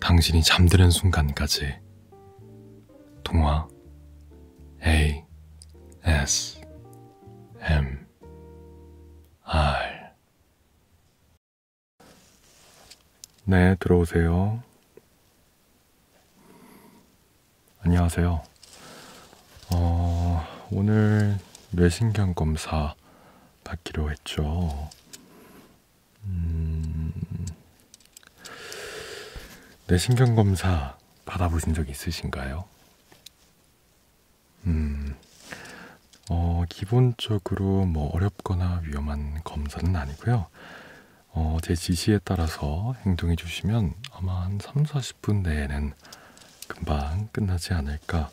당신이 잠드는 순간까지 동화 A S M R 네, 들어오세요. 안녕하세요. 어, 오늘 뇌신경 검사 받기로 했죠. 음... 뇌신경 검사 받아보신 적 있으신가요? 음, 어, 기본적으로 뭐 어렵거나 위험한 검사는 아니고요. 어, 제 지시에 따라서 행동해 주시면 아마 한 3, 40분 내에는 금방 끝나지 않을까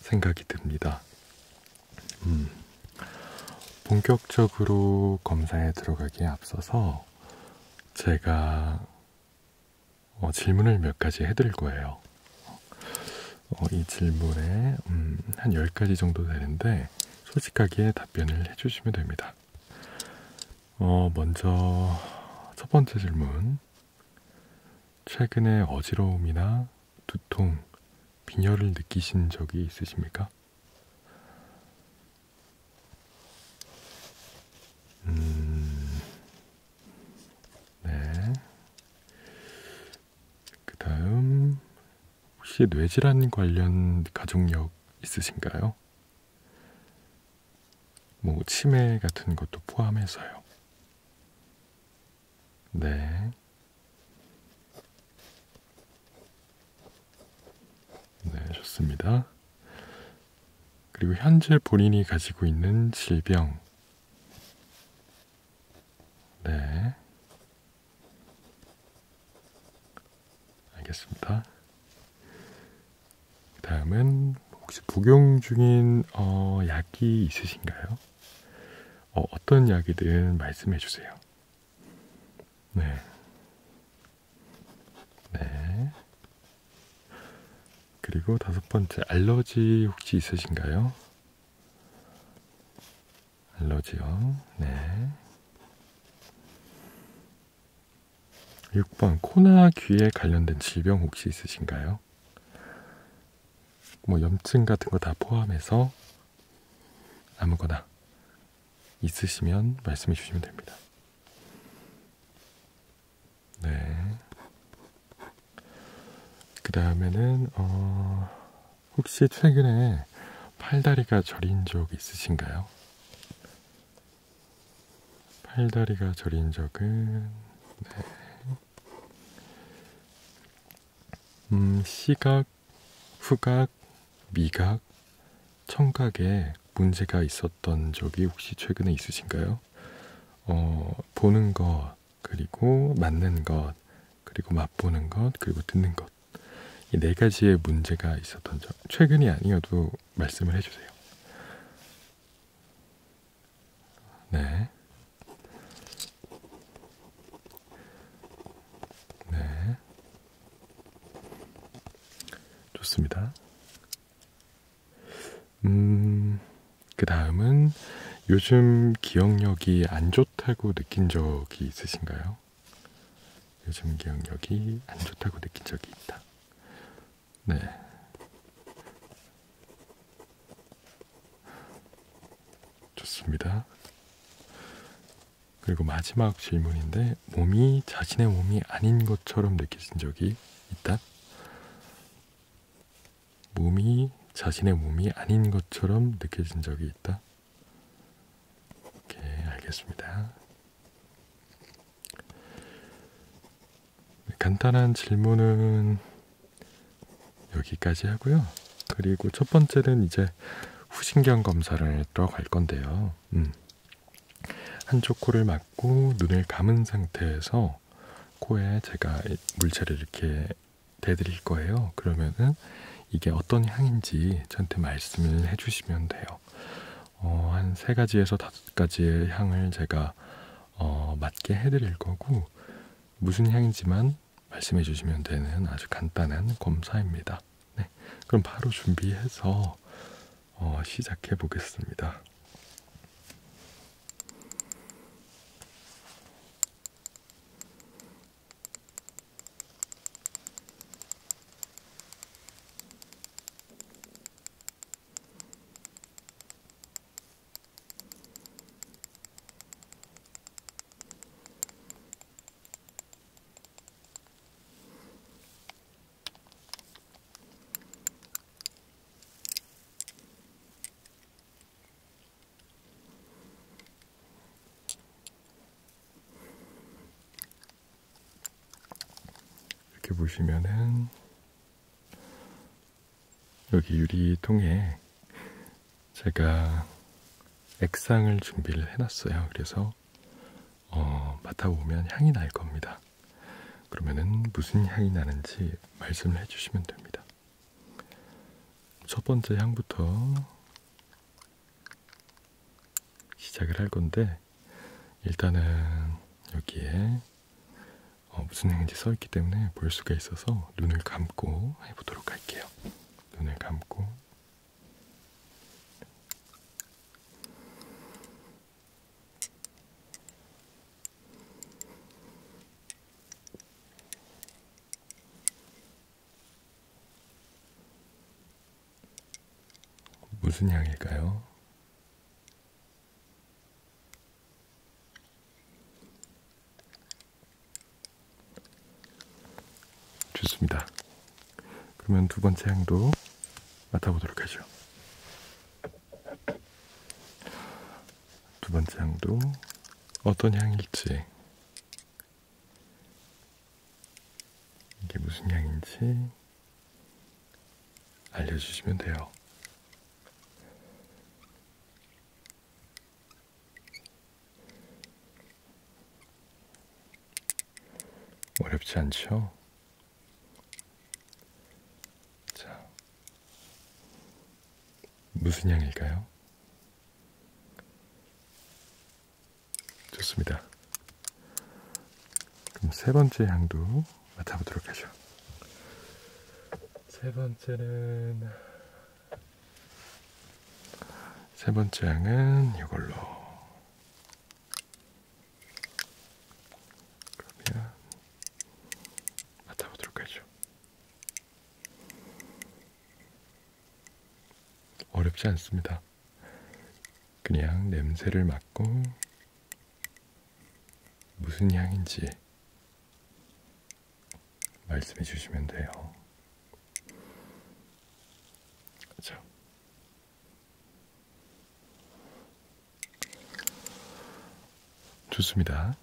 생각이 듭니다. 음, 본격적으로 검사에 들어가기에 앞서서 제가 어, 질문을 몇 가지 해드릴 거예요. 어, 이 질문에 음, 한 10가지 정도 되는데 솔직하게 답변을 해주시면 됩니다. 어, 먼저 첫 번째 질문. 최근에 어지러움이나 두통, 빈혈을 느끼신 적이 있으십니까? 음, 네. 그 다음, 혹시 뇌질환 관련 가족력 있으신가요? 뭐, 치매 같은 것도 포함해서요. 네. 네, 좋습니다. 그리고 현재 본인이 가지고 있는 질병. 네. 알겠습니다. 그 다음은 혹시 복용 중인 어, 약이 있으신가요? 어, 어떤 약이든 말씀해 주세요. 네. 네. 그리고 다섯 번째, 알러지 혹시 있으신가요? 알러지요. 네. 6번, 코나 귀에 관련된 질병 혹시 있으신가요? 뭐 염증 같은 거 다 포함해서 아무거나 있으시면 말씀해 주시면 됩니다. 네. 그 다음에는, 어, 혹시 최근에 팔다리가 저린 적 있으신가요? 팔다리가 저린 적은, 네. 음, 시각 후각, 미각, 청각에 문제가 있었던 적이 혹시 최근에 있으신가요? 어, 보는 것, 그리고 맞는 것, 그리고 맛보는 것, 그리고 듣는 것. 이 네 가지의 문제가 있었던 적, 최근이 아니어도 말씀을 해주세요. 네. 네. 좋습니다. 음, 그 다음은 요즘 기억력이 안 좋다고 느낀 적이 있으신가요? 요즘 기억력이 안 좋다고 느낀 적이 있다. 네. 좋습니다. 그리고 마지막 질문인데 몸이 자신의 몸이 아닌 것처럼 느껴진 적이 있다? 몸이 자신의 몸이 아닌 것처럼 느껴진 적이 있다? 오케이, 알겠습니다. 간단한 질문은 여기까지 하고요. 그리고 첫 번째는 이제 후신경 검사를 들어갈 건데요. 음. 한쪽 코를 막고 눈을 감은 상태에서 코에 제가 물체를 이렇게 대드릴 거예요. 그러면은 이게 어떤 향인지 저한테 말씀을 해주시면 돼요. 어, 한세 가지에서 다섯 가지의 향을 제가 어, 맡게 해드릴 거고 무슨 향이지만 말씀해 주시면 되는 아주 간단한 검사입니다. 네, 그럼 바로 준비해서 어, 시작해 보겠습니다. 이렇게 보시면은 여기 유리통에 제가 액상을 준비를 해놨어요. 그래서 어, 맡아보면 향이 날 겁니다. 그러면은 무슨 향이 나는지 말씀을 해주시면 됩니다. 첫 번째 향부터 시작을 할 건데 일단은 여기에 어, 무슨 향인지 써 있기 때문에 볼 수가 있어서 눈을 감고 해보도록 할게요. 눈을 감고 무슨 향일까요? 좋습니다. 그러면 두 번째 향도 맡아보도록 하죠. 두 번째 향도 어떤 향일지, 이게 무슨 향인지 알려주시면 돼요. 어렵지 않죠? 자, 무슨 향일까요? 좋습니다. 그럼 세 번째 향도 맡아보도록 하죠. 세 번째는 세 번째 항은 이걸로. 그러면 맡아보도록 하죠. 어렵지 않습니다. 그냥 냄새를 맡고 무슨 향인지 말씀해 주시면 돼요. 그렇죠. 좋습니다.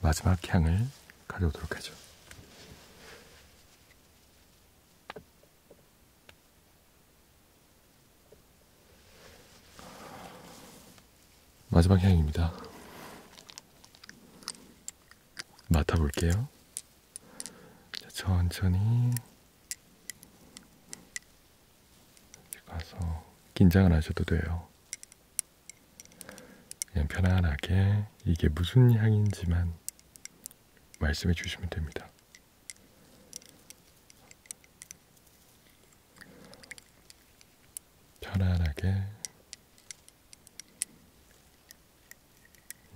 마지막 향을 가져오도록 하죠. 마지막 향입니다. 맡아볼게요. 천천히 가서 긴장을 하셔도 돼요. 그냥 편안하게 이게 무슨 향인지만 말씀해 주시면 됩니다. 편안하게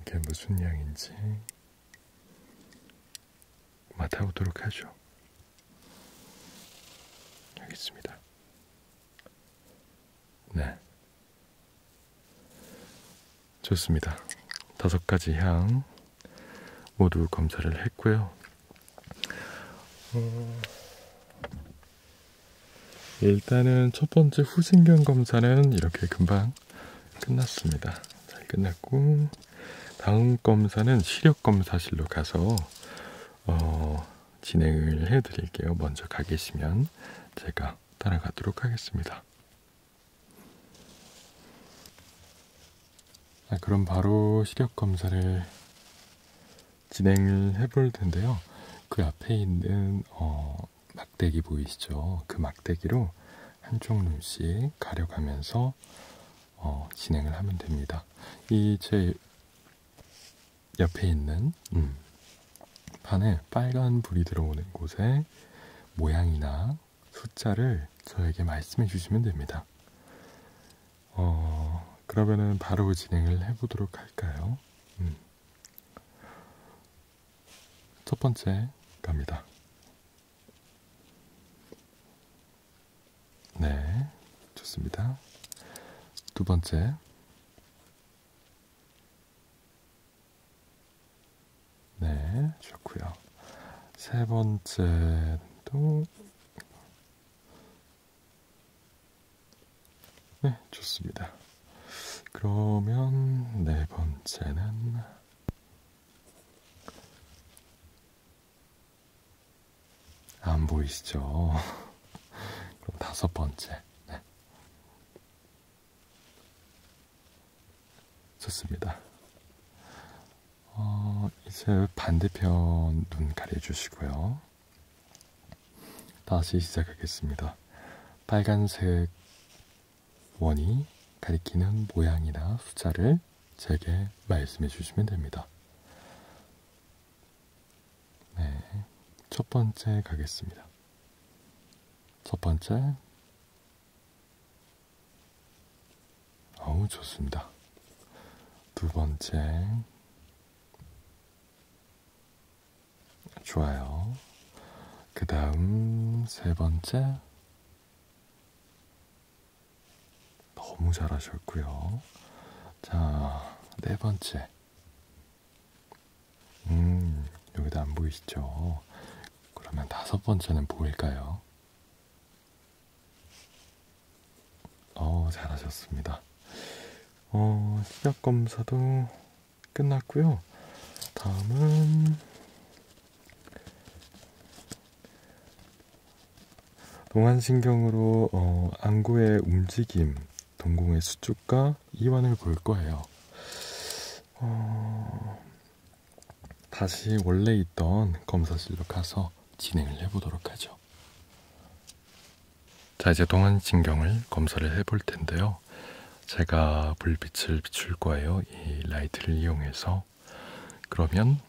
이게 무슨 향인지 맡아보도록 하죠. 여기 있습니다. 네. 좋습니다. 다섯 가지 향 모두 검사를 했고요. 음... 일단은 첫 번째 후신경 검사는 이렇게 금방 끝났습니다. 잘 끝났고 다음 검사는 시력 검사실로 가서 어, 진행을 해드릴게요. 먼저 가 계시면 제가 따라가도록 하겠습니다. 자, 아, 그럼 바로 시력 검사를 진행을 해볼 텐데요. 그 앞에 있는 어, 막대기 보이시죠? 그 막대기로 한쪽 눈씩 가려가면서 어, 진행을 하면 됩니다. 이제 옆에 있는 음, 판에 빨간 불이 들어오는 곳에 모양이나 숫자를 저에게 말씀해 주시면 됩니다. 어, 그러면은 바로 진행을 해보도록 할까요? 음. 첫 번째 갑니다. 네, 좋습니다. 두 번째. 네, 좋고요. 세 번째도 네, 좋습니다. 그러면 네 번째는 안 보이시죠? 그럼 다섯 번째. 네. 좋습니다. 어, 이제 반대편 눈 가려주시고요. 다시 시작하겠습니다. 빨간색 원이 가리키는 모양이나 숫자를 제게 말씀해 주시면 됩니다. 네, 첫 번째 가겠습니다. 첫 번째. 어우, 좋습니다. 두 번째. 좋아요. 그 다음 세 번째. 너무 잘하셨고요. 자, 네 번째. 음, 여기도 안 보이시죠? 그러면 다섯 번째는 보일까요? 어, 잘하셨습니다. 어, 시력 검사도 끝났고요. 다음은 동안신경으로 어, 안구의 움직임, 동공의 수축과 이완을 볼 거예요. 어, 다시 원래 있던 검사실로 가서 진행을 해보도록 하죠. 자, 이제 동안신경을 검사를 해볼 텐데요. 제가 불빛을 비출 거예요. 이 라이트를 이용해서. 그러면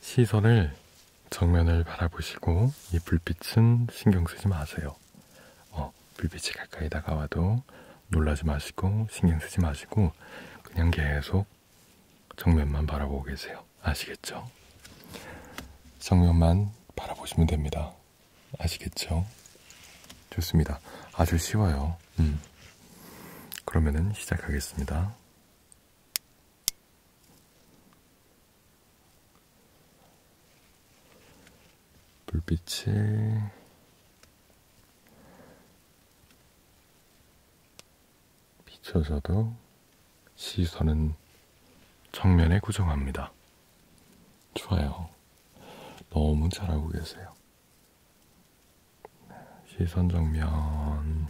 시선을 정면을 바라보시고 이 불빛은 신경 쓰지 마세요. 어, 불빛이 가까이 다가와도 놀라지 마시고 신경 쓰지 마시고 그냥 계속 정면만 바라보고 계세요. 아시겠죠? 정면만 바라보시면 됩니다. 아시겠죠? 좋습니다. 아주 쉬워요. 음. 그러면은 시작하겠습니다. 불빛이 비춰져도 시선은 정면에 고정합니다. 좋아요. 너무 잘하고 계세요. 네, 시선 정면,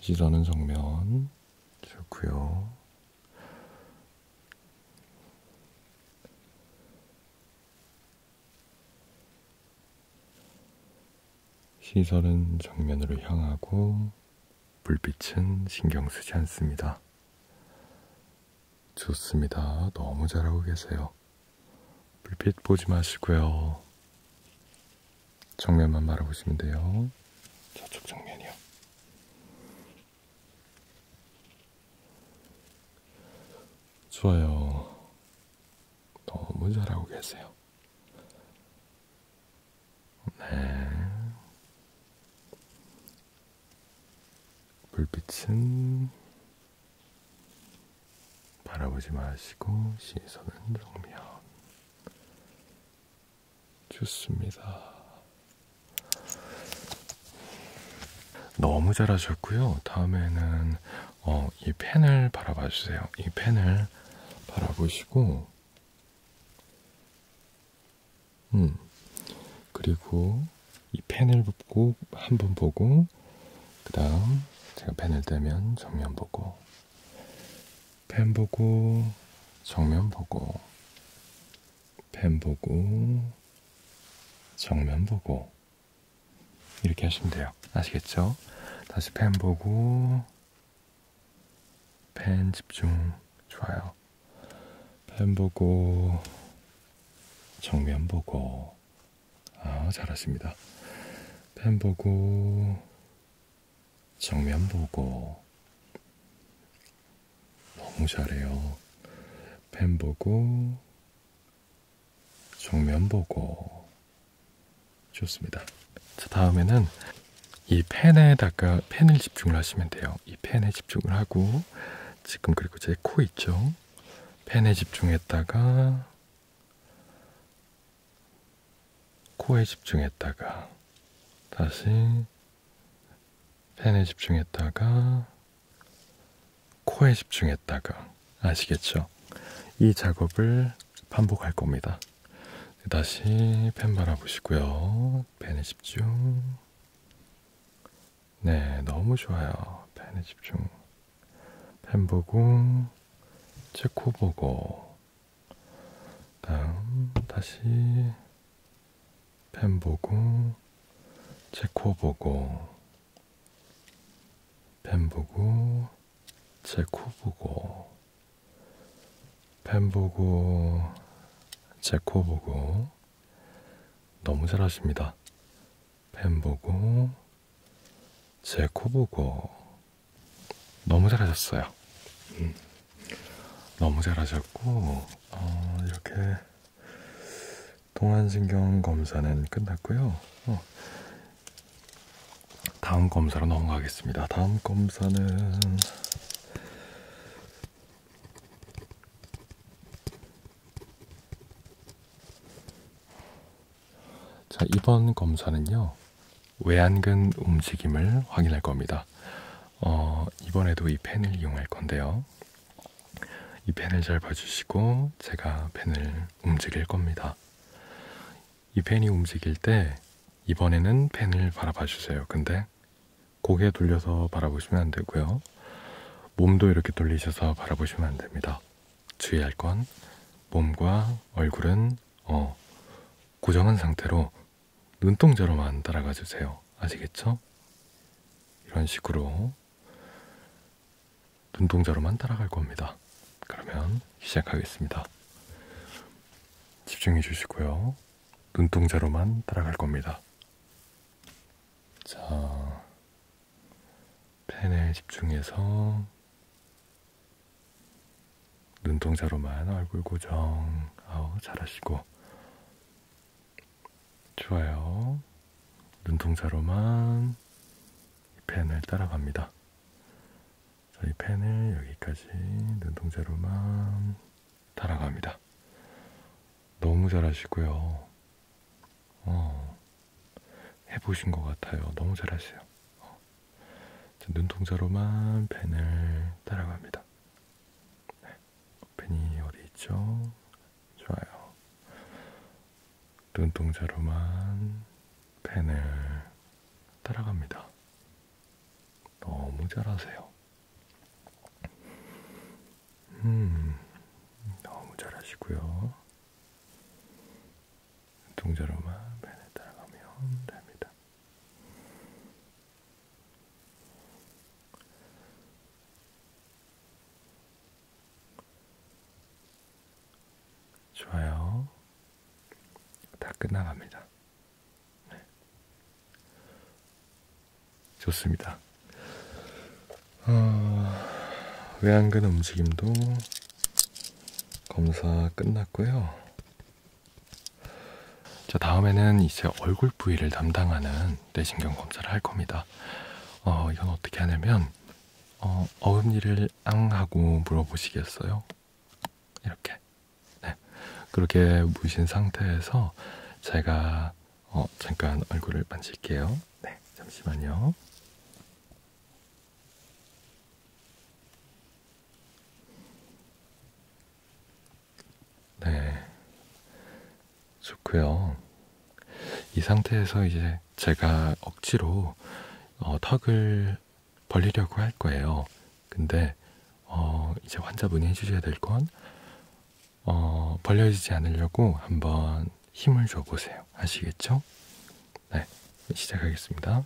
시선은 정면, 좋고요. 시선은 정면으로 향하고, 불빛은 신경 쓰지 않습니다. 좋습니다. 너무 잘하고 계세요. 불빛 보지 마시고요. 정면만 바라보시면 돼요. 저쪽 정면이요. 좋아요. 너무 잘하고 계세요. 네. 불빛은 바라보지 마시고 시선은 정면 좋습니다. 너무 잘하셨고요. 다음에는 어, 이 펜을 바라봐 주세요. 이 펜을 바라보시고 음. 그리고 이 펜을 붓고 한 번 보고 그 다음 제가 펜을 떼면 정면 보고 펜 보고 정면 보고 펜 보고 정면 보고 이렇게 하시면 돼요 아시겠죠? 다시 펜 보고 펜 집중 좋아요 펜 보고 정면 보고 아 잘하십니다. 펜 보고 정면 보고 너무 잘해요. 펜 보고 정면 보고 좋습니다. 자 다음에는 이 펜에다가 펜을 집중을 하시면 돼요. 이 펜에 집중을 하고 지금 그리고 제 코 있죠? 펜에 집중했다가 코에 집중했다가 다시 펜에 집중했다가 코에 집중했다가 아시겠죠? 이 작업을 반복할 겁니다. 다시 펜 바라보시고요. 펜에 집중 네, 너무 좋아요. 펜에 집중. 펜 보고, 체코 보고, 다음 다시 펜 보고, 체코 보고, 펜 보고, 체코 보고, 펜 보고, 체코 보고. 너무 잘하십니다. 펜 보고, 제 코 보고, 너무 잘하셨어요. 음. 너무 잘하셨고, 어, 이렇게 동안신경 검사는 끝났고요. 어. 다음 검사로 넘어가겠습니다. 다음 검사는 자, 이번 검사는요. 외안근 움직임을 확인할 겁니다. 어, 이번에도 이 펜을 이용할 건데요. 이 펜을 잘 봐주시고 제가 펜을 움직일 겁니다. 이 펜이 움직일 때 이번에는 펜을 바라봐 주세요. 근데 고개 돌려서 바라보시면 안 되고요. 몸도 이렇게 돌리셔서 바라보시면 안 됩니다. 주의할 건 몸과 얼굴은 어, 고정한 상태로 눈동자로만 따라가 주세요. 아시겠죠? 이런 식으로 눈동자로만 따라갈 겁니다. 그러면 시작하겠습니다. 집중해 주시고요. 눈동자로만 따라갈 겁니다. 자, 펜에 집중해서 눈동자로만 얼굴 고정, 아우, 잘하시고. 좋아요. 눈동자로만 이 펜을 따라갑니다. 자, 이 펜을 여기까지 눈동자로만 따라갑니다. 너무 잘하시고요. 어, 해보신 것 같아요. 너무 잘하세요. 어. 자, 눈동자로만 펜을 따라갑니다. 네. 펜이 어디 있죠? 좋아요. 눈동자로만 펜을 따라갑니다. 너무 잘하세요. 음, 너무 잘하시고요. 동자로만 펜에 따라가면 됩니다. 좋아요. 다 끝나갑니다. 네. 좋습니다. 어, 외안근 움직임도 검사 끝났고요. 자, 다음에는 이제 얼굴 부위를 담당하는 뇌신경 검사를 할 겁니다. 어, 이건 어떻게 하냐면 어, 어금니를 앙 하고 물어보시겠어요? 이렇게. 네. 그렇게 무신 상태에서 제가 어, 잠깐 얼굴을 만질게요. 네, 잠시만요. 네, 좋고요. 이 상태에서 이제 제가 억지로 어, 턱을 벌리려고 할 거예요. 근데 어, 이제 환자분이 해주셔야 될건 어, 벌려지지 않으려고 한번 힘을 줘보세요. 아시겠죠? 네, 시작하겠습니다.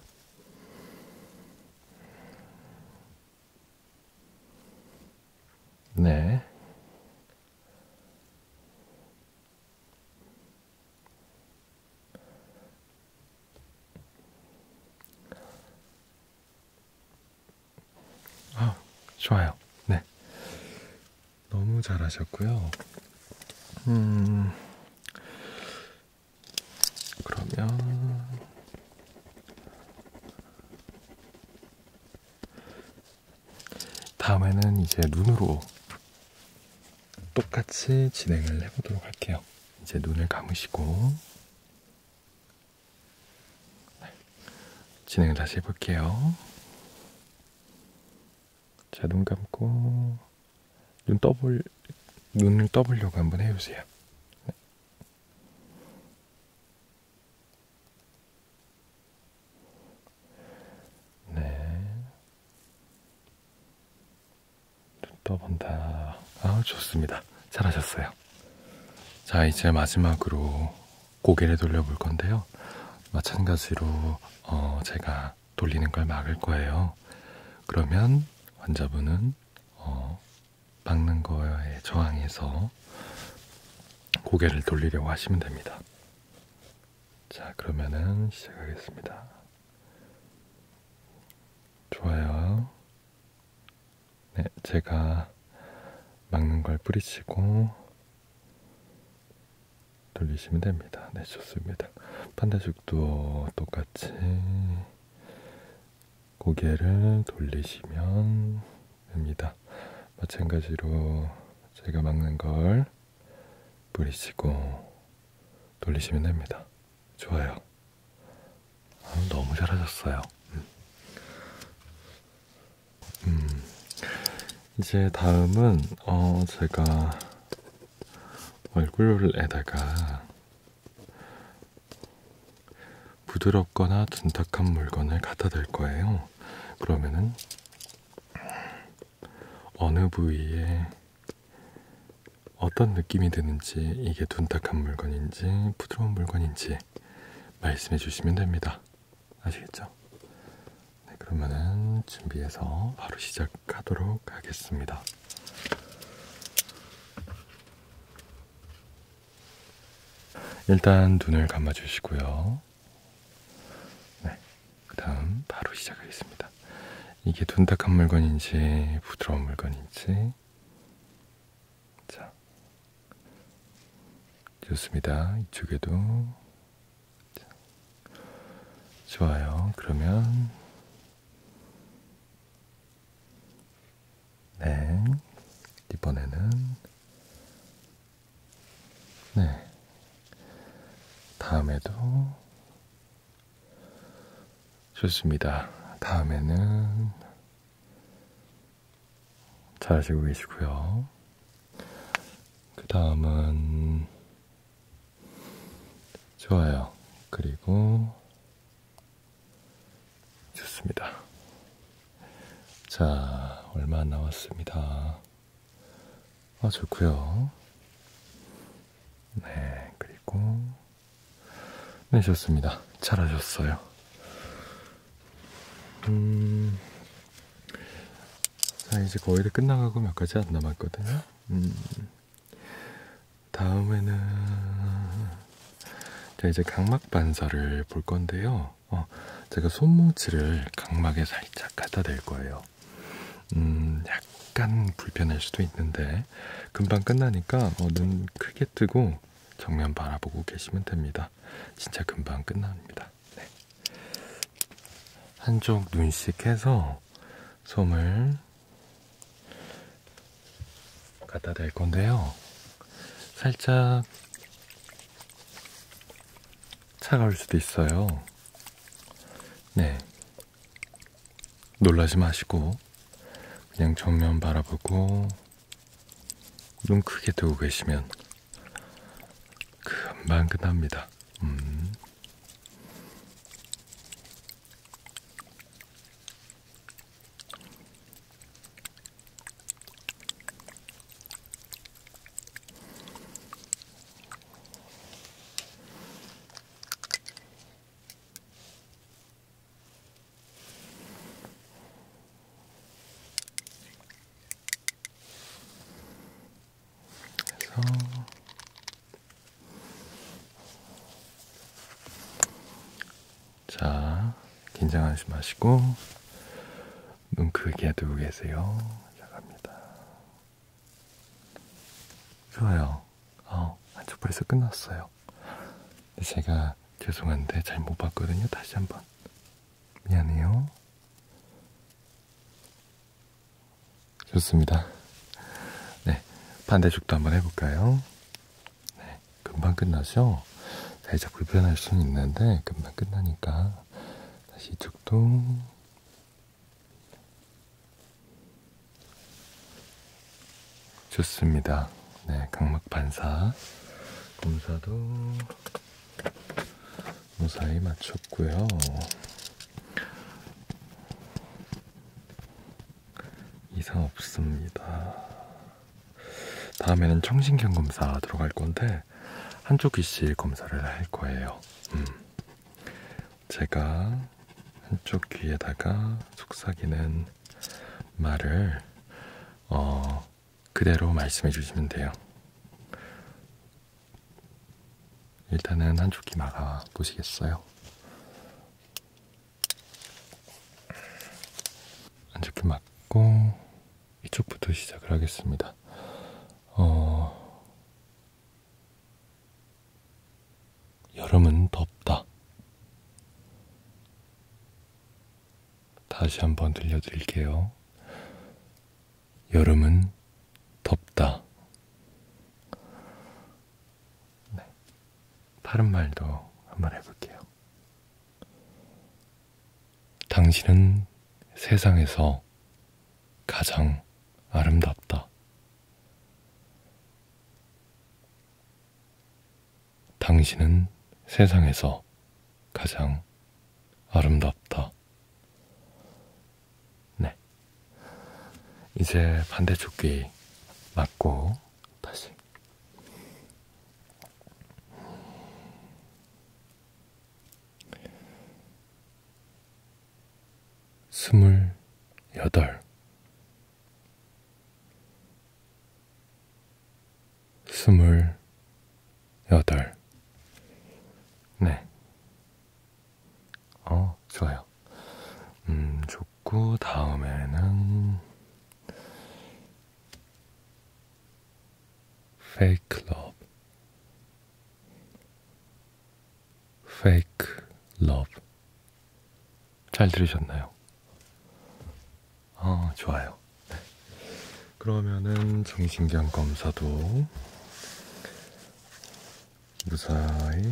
네. 아, 좋아요. 네. 너무 잘하셨고요. 음. 그러면 다음에는 이제 눈으로 똑같이 진행을 해보도록 할게요. 이제 눈을 감으시고 진행을 다시 해볼게요. 자, 눈 감고 눈 떠볼 눈을 떠보려고 한번 해보세요. 네. 네. 눈 떠본다. 아, 좋습니다. 잘하셨어요. 자, 이제 마지막으로 고개를 돌려볼 건데요. 마찬가지로 어, 제가 돌리는 걸 막을 거예요. 그러면 환자분은 어, 막는 거에 저항해서 고개를 돌리려고 하시면 됩니다. 자, 그러면은 시작하겠습니다. 좋아요. 네, 제가 막는 걸 뿌리치고 돌리시면 됩니다. 네, 좋습니다. 반대쪽도 똑같이 고개를 돌리시면 됩니다. 마찬가지로 제가 막는 걸 뿌리시고 돌리시면 됩니다. 좋아요. 아, 너무 잘하셨어요. 음. 음, 이제 다음은 어 제가 얼굴에다가 부드럽거나 둔탁한 물건을 갖다 댈 거예요. 그러면은 어느 부위에 어떤 느낌이 드는지 이게 둔탁한 물건인지 부드러운 물건인지 말씀해 주시면 됩니다. 아시겠죠? 네, 그러면은 준비해서 바로 시작하도록 하겠습니다. 일단 눈을 감아주시고요. 네, 그 다음 바로 시작하겠습니다. 이게 둔탁한 물건인지 부드러운 물건인지 자 좋습니다. 이쪽에도 좋아요. 그러면 네 이번에는 네 다음에도 좋습니다. 다음에는 잘 하시고 계시고요. 그 다음은 좋아요. 그리고 좋습니다. 자, 얼마 안 남았습니다. 아, 좋고요. 네, 그리고 네, 좋습니다. 잘하셨어요. 음, 자 아, 이제 거의 다 끝나가고 몇 가지 안 남았거든요. 음, 다음에는 자 이제 각막 반사를 볼 건데요. 어, 제가 손뭉치를 각막에 살짝 갖다 댈 거예요. 음, 약간 불편할 수도 있는데 금방 끝나니까 어, 눈 크게 뜨고 정면 바라보고 계시면 됩니다. 진짜 금방 끝납니다. 네. 한쪽 눈씩 해서 솜을 갖다 댈 건데요. 살짝 차가울 수도 있어요. 네. 놀라지 마시고, 그냥 정면 바라보고, 눈 크게 뜨고 계시면 금방 끝납니다. 음. 그래서 자 긴장하지 마시고 눈 크게 뜨고 계세요. 자 갑니다. 좋아요. 어, 한쪽 벌써 끝났어요. 제가 죄송한데 잘 못 봤거든요. 다시 한번 미안해요. 좋습니다. 네, 반대쪽도 한번 해볼까요? 네, 금방 끝나죠? 살짝 불편할 수는 있는데 금방 끝나니까 다시 이쪽도 좋습니다. 네, 각막 반사 검사도 무사히 마쳤고요. 이상 없습니다. 다음에는 청신경 검사 들어갈 건데 한쪽 귀실 검사를 할 거예요. 음. 제가 한쪽 귀에다가 속삭이는 말을 어, 그대로 말씀해 주시면 돼요. 일단은 한쪽 귀 막아 보시겠어요? 한쪽 귀 막고 이쪽부터 시작을 하겠습니다. 어... 여름은 덥다. 다시 한번 들려드릴게요. 여름은 덥다. 네. 다른 말도 한번 해볼게요. 당신은 세상에서 가장 아름답다. 당신은 세상에서 가장 아름답다. 네. 이제 반대쪽 귀 맞고 다시. 스물 여덟 스물 여덟. 네. 어, 좋아요. 음, 좋고, 다음에는, fake love. fake love. 잘 들으셨나요? 어, 좋아요. 같아요. 네. 그러면은 정신경 검사도 무사히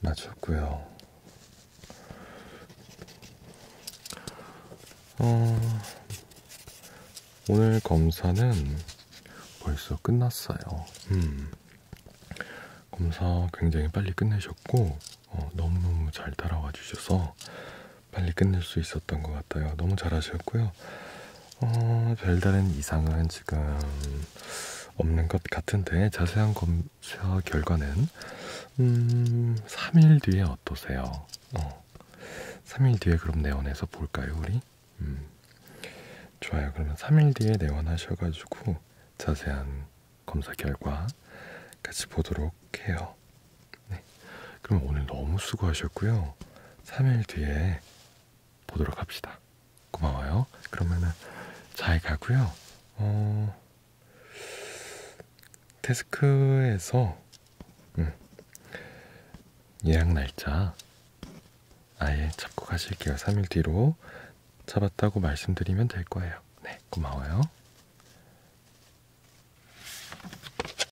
마쳤고요. 어, 오늘 검사는 벌써 끝났어요. 음. 검사 굉장히 빨리 끝내셨고 어, 너무너무 잘 따라와 주셔서 빨리 끝낼 수 있었던 것 같아요. 너무 잘하셨고요. 어, 별다른 이상은 지금 없는 것 같은데 자세한 검사 결과는 음, 3일 뒤에 어떠세요? 어, 3일 뒤에 그럼 내원해서 볼까요, 우리? 음, 좋아요. 그러면 3일 뒤에 내원하셔가지고 자세한 검사 결과 같이 보도록 해요. 네. 그럼 오늘 너무 수고하셨고요. 3일 뒤에 보도록 합시다. 고마워요. 그러면은 잘 가고요. 어... 데스크에서 음, 예약 날짜 아예 잡고 가실게요. 3일 뒤로 잡았다고 말씀드리면 될 거예요. 네, 고마워요.